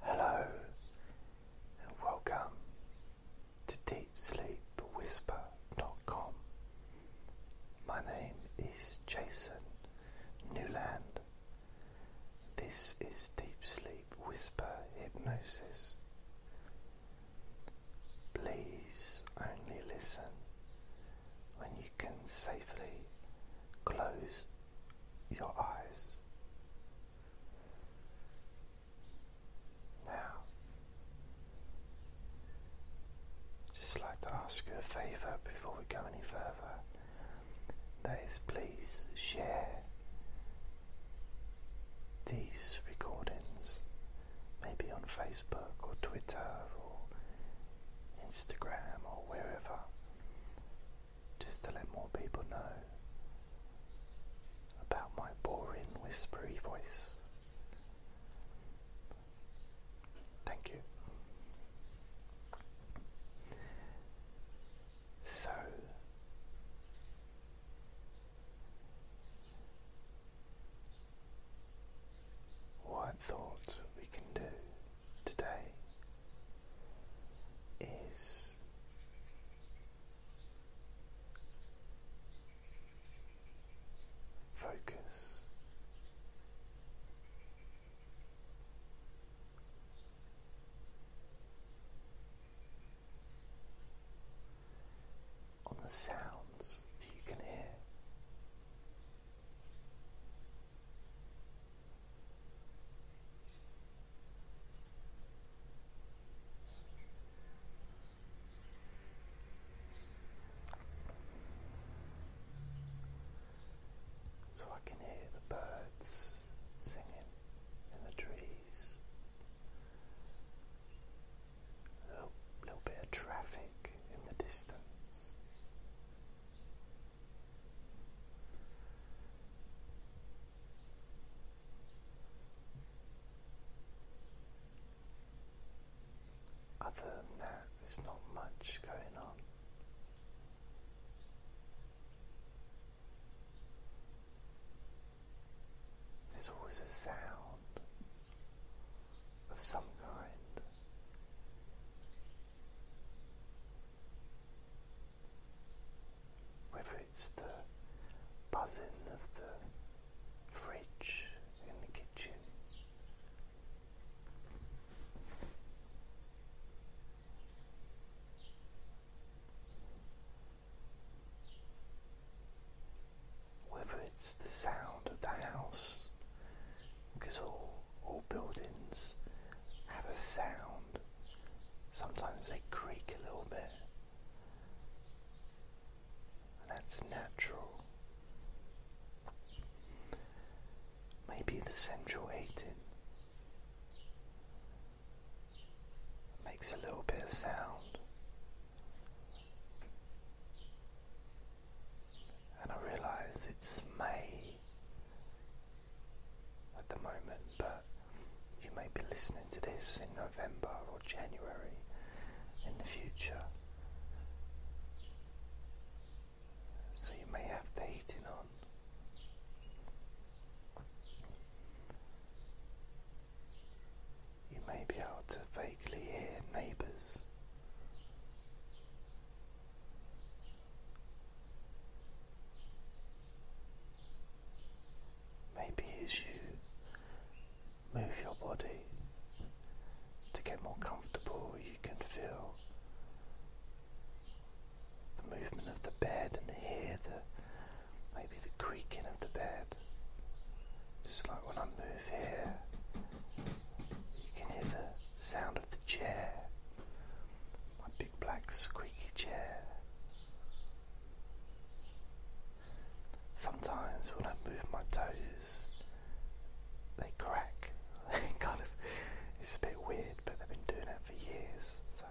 Hello and welcome to Deep Sleep Whisper dot com. My name is Jason Newland. This is Deep Sleep Whisper Hypnosis. Please only listen when you can safely close your eyes. Now, just like to ask you a favour before we go any further. That is, please share these recordings, maybe on Facebook or Twitter or Instagram or wherever just to let more people know about my boring whispery voice. Thank you. So, what I we can do today is focus on the sounds that you can hear. So I can hear the birds singing in the trees. A little bit of traffic in the distance. Other than that, there's not much going on. There's always a sound of some kind whether it's the buzzing of the fridge in the kitchen. Whether it's the sound of the house, because all, all buildings have a sound. Sometimes they creak a little bit. And that's natural. Maybe the central heating makes a little bit of sound. And I realize it's May at the moment, but you may be listening to this in November or January in the future. So you may have the heating on. You may be able to vaguely hear neighbours Maybe as you move your body to get more comfortable, you can feel the movement of the bed and hear the maybe the creaking of the bed. Just like when I move here, you can hear the sound of the chair, my big black squeaky chair. Sometimes when I move my toes, they crack. kind of, it's a bit weird, but they've been doing it for years. So,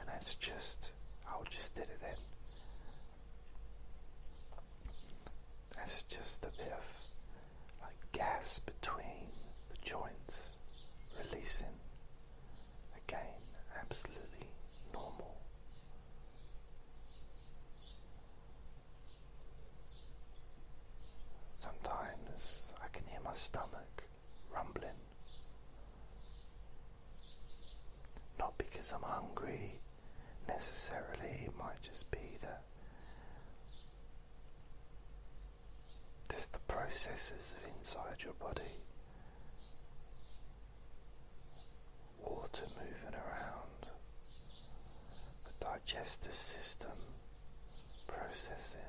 and that's just, I just did it then. That's just a bit of like gas between the joints releasing. Again, absolutely normal. Sometimes I can hear my stomach rumbling. Not because I'm hungry necessarily, it might just be that just the processes inside your body. Water moving around. The digestive system processing.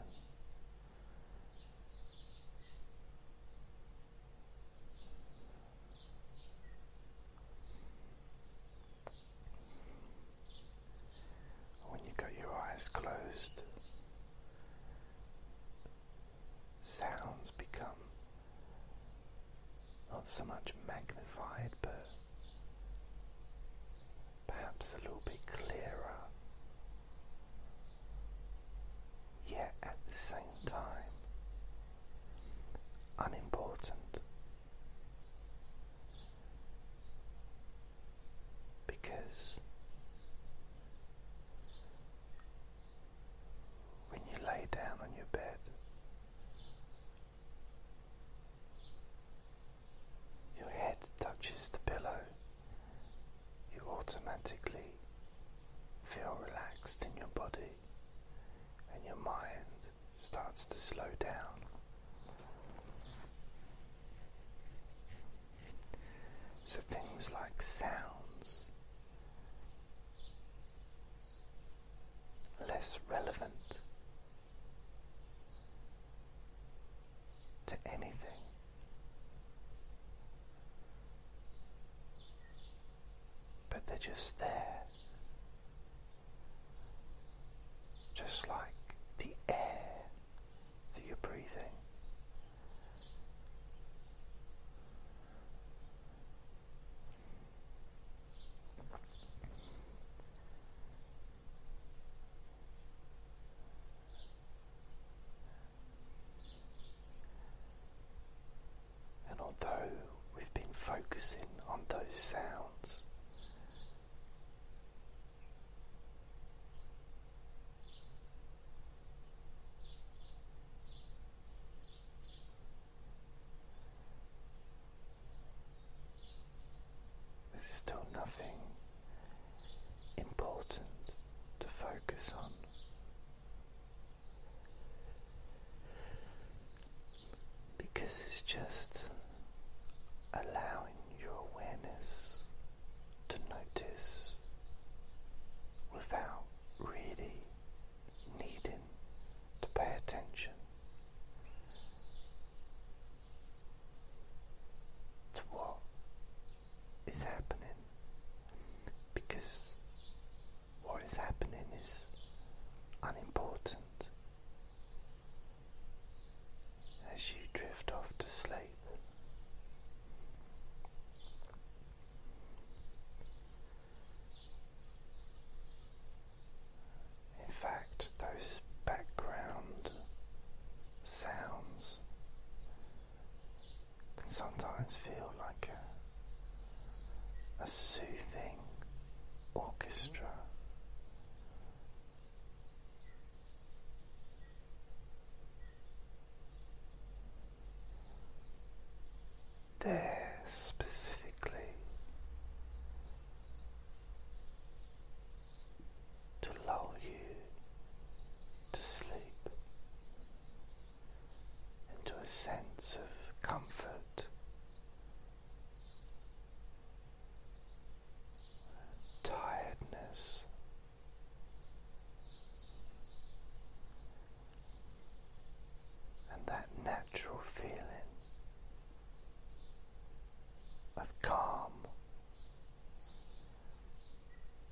When you got your eyes closed, sounds become not so much magnified but perhaps a little bit clearer, yet at the same time unimportant because when you lay down on your bed. Your head touches the pillow, you automatically feel relaxed in your body, and your mind starts to slow down. So things like sounds, less relevant to anything. But they're just there, just like the air that you're breathing and although we've been focusing on those sounds, there's still nothing important to focus on. Because it's just allowing your awareness to notice without really needing to pay attention to what is happening because what is happening is unimportant. As you drift off to sleep, in fact, those background sounds can sometimes feel like a, soothing orchestra there specifically to lull you to sleep into a sense of comfort. Tiredness and that natural feeling of calm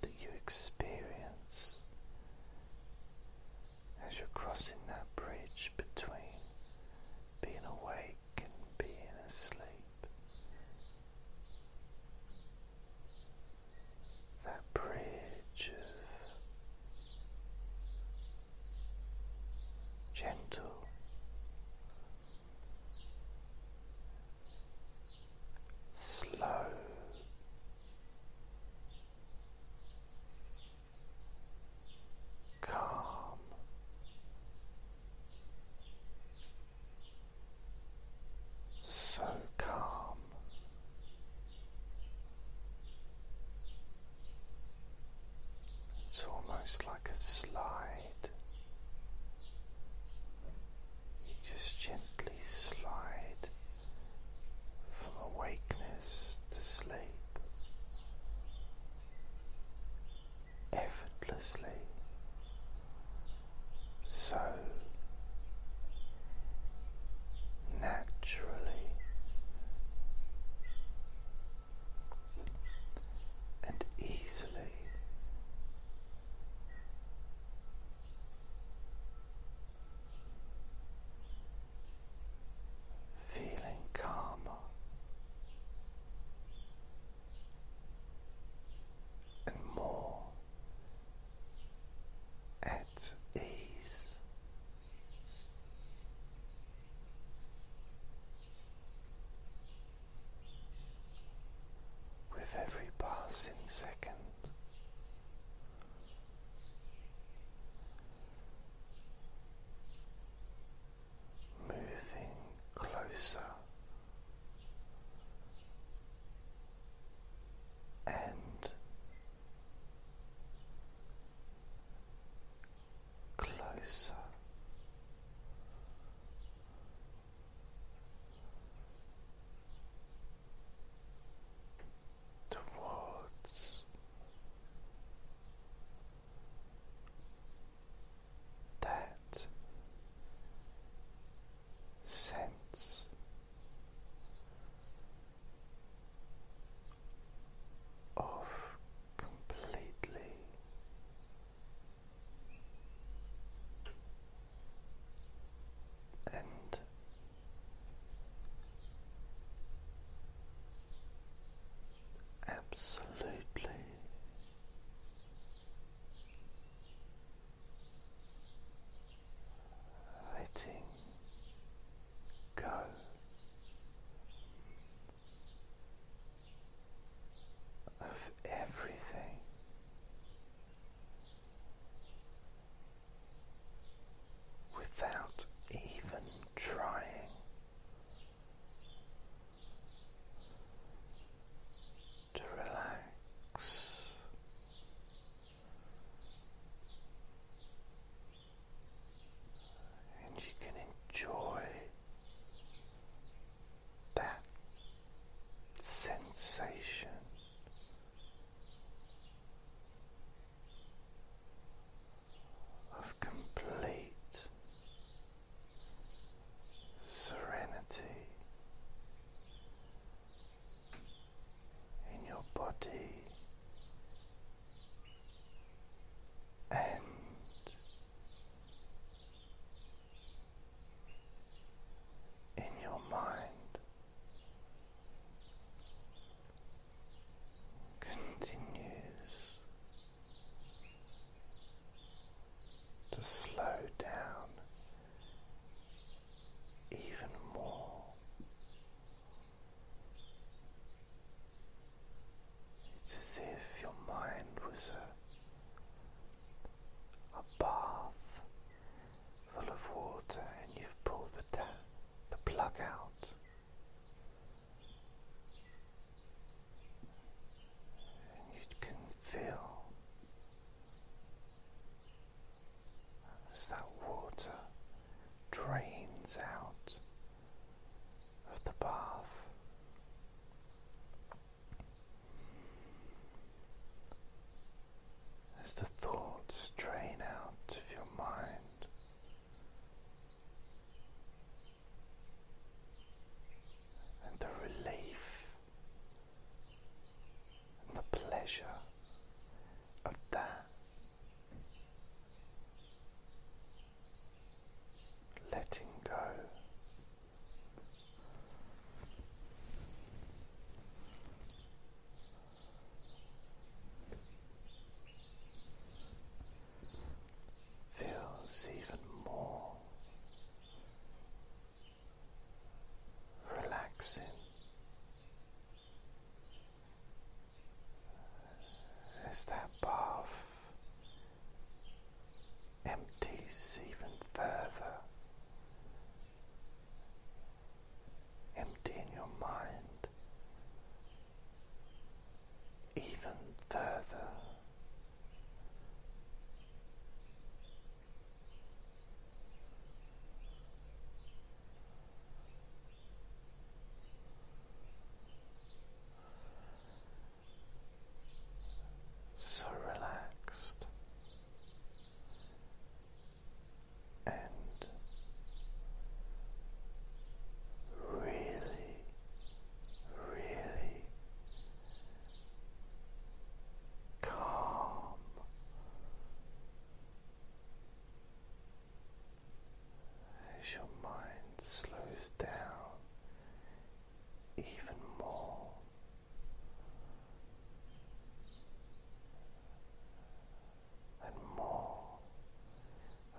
that you experience as you're crossing that bridge between being awake and being asleep that bridge of gentle slow calm so calm. It's almost like a slide. You just gently slide from awakeness to sleep effortlessly so naturally. And easily, feeling calmer and more at ease. With every passing second, moving closer and closer. Towards that sense. Of completely and absolutely letting go. Of everything without even trying, to relax and you can enjoy that sensation. Of complete serenity in your body and in your mind. Continues to slow down even more. It's as if your mind was a, a bath full of water and you've pulled the the plug out. And you can feel as that water drains out of the bath. As the thoughts drain out of your mind, and the relief the pleasure of that. Letting go. Feels even more relaxing as that bath empties even further, emptying your mind even further. So relaxed and really, really calm as your mind slows down even more. And more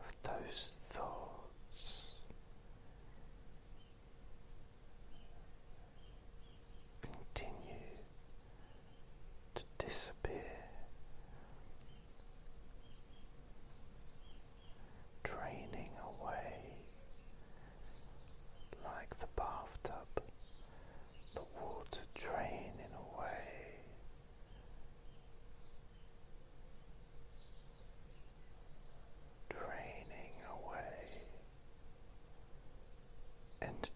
of those thoughts continue to disappear, draining away like the bathtub, the water draining away. Draining away and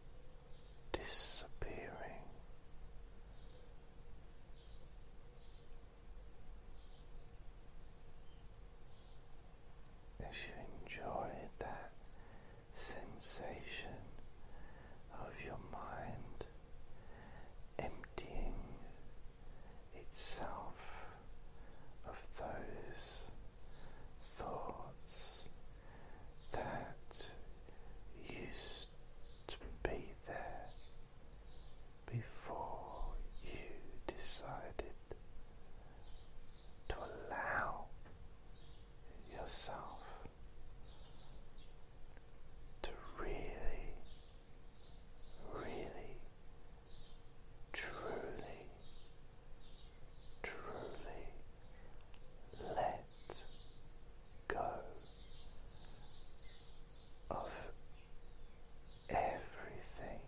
disappearing. As you enjoy that sensation of your mind emptying itself of those thoughts that used to be there before you decided to allow yourself to really, really, truly, truly let go of everything.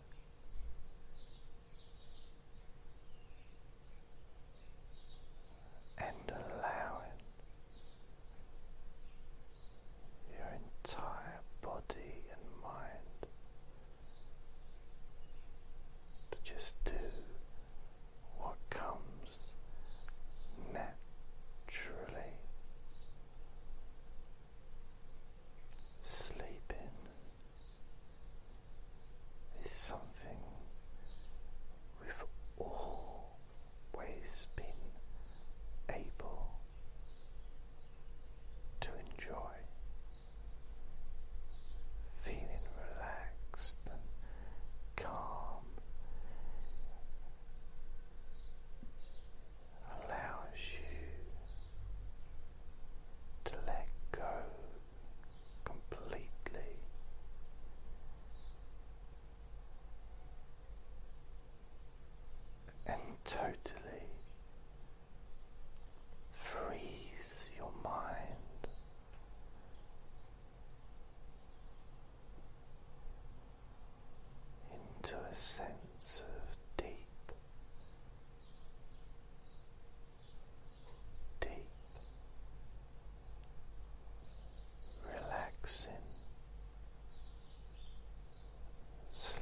And allowing your entire body and mind to just do what comes naturally. Sleeping is something we've always been able to enjoy. Feeling relaxed and calm allows you to let go completely. And totally freeze your mind into a sense of deep, deep relaxing sleep.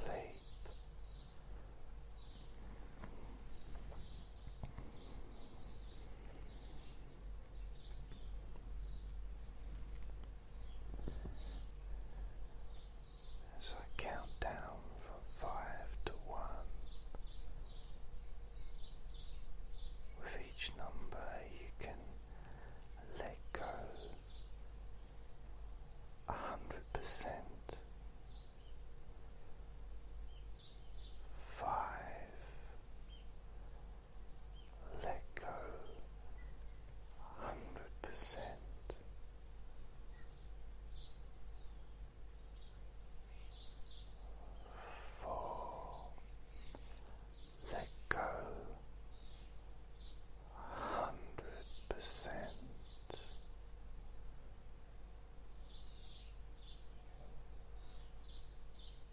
As I count down from five to one, with each number you can let go a hundred percent. Five, let go 100%. Four, let go hundred percent.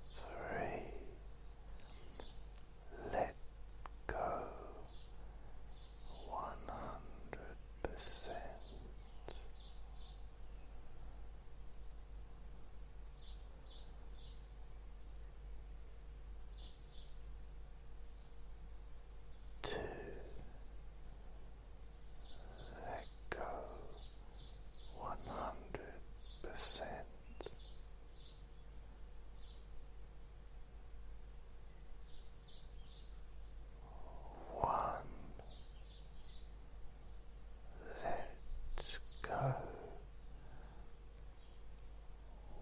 Three, let go one hundred percent. Two, let go one hundred percent. One, let's go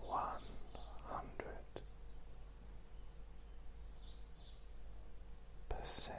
one hundred percent.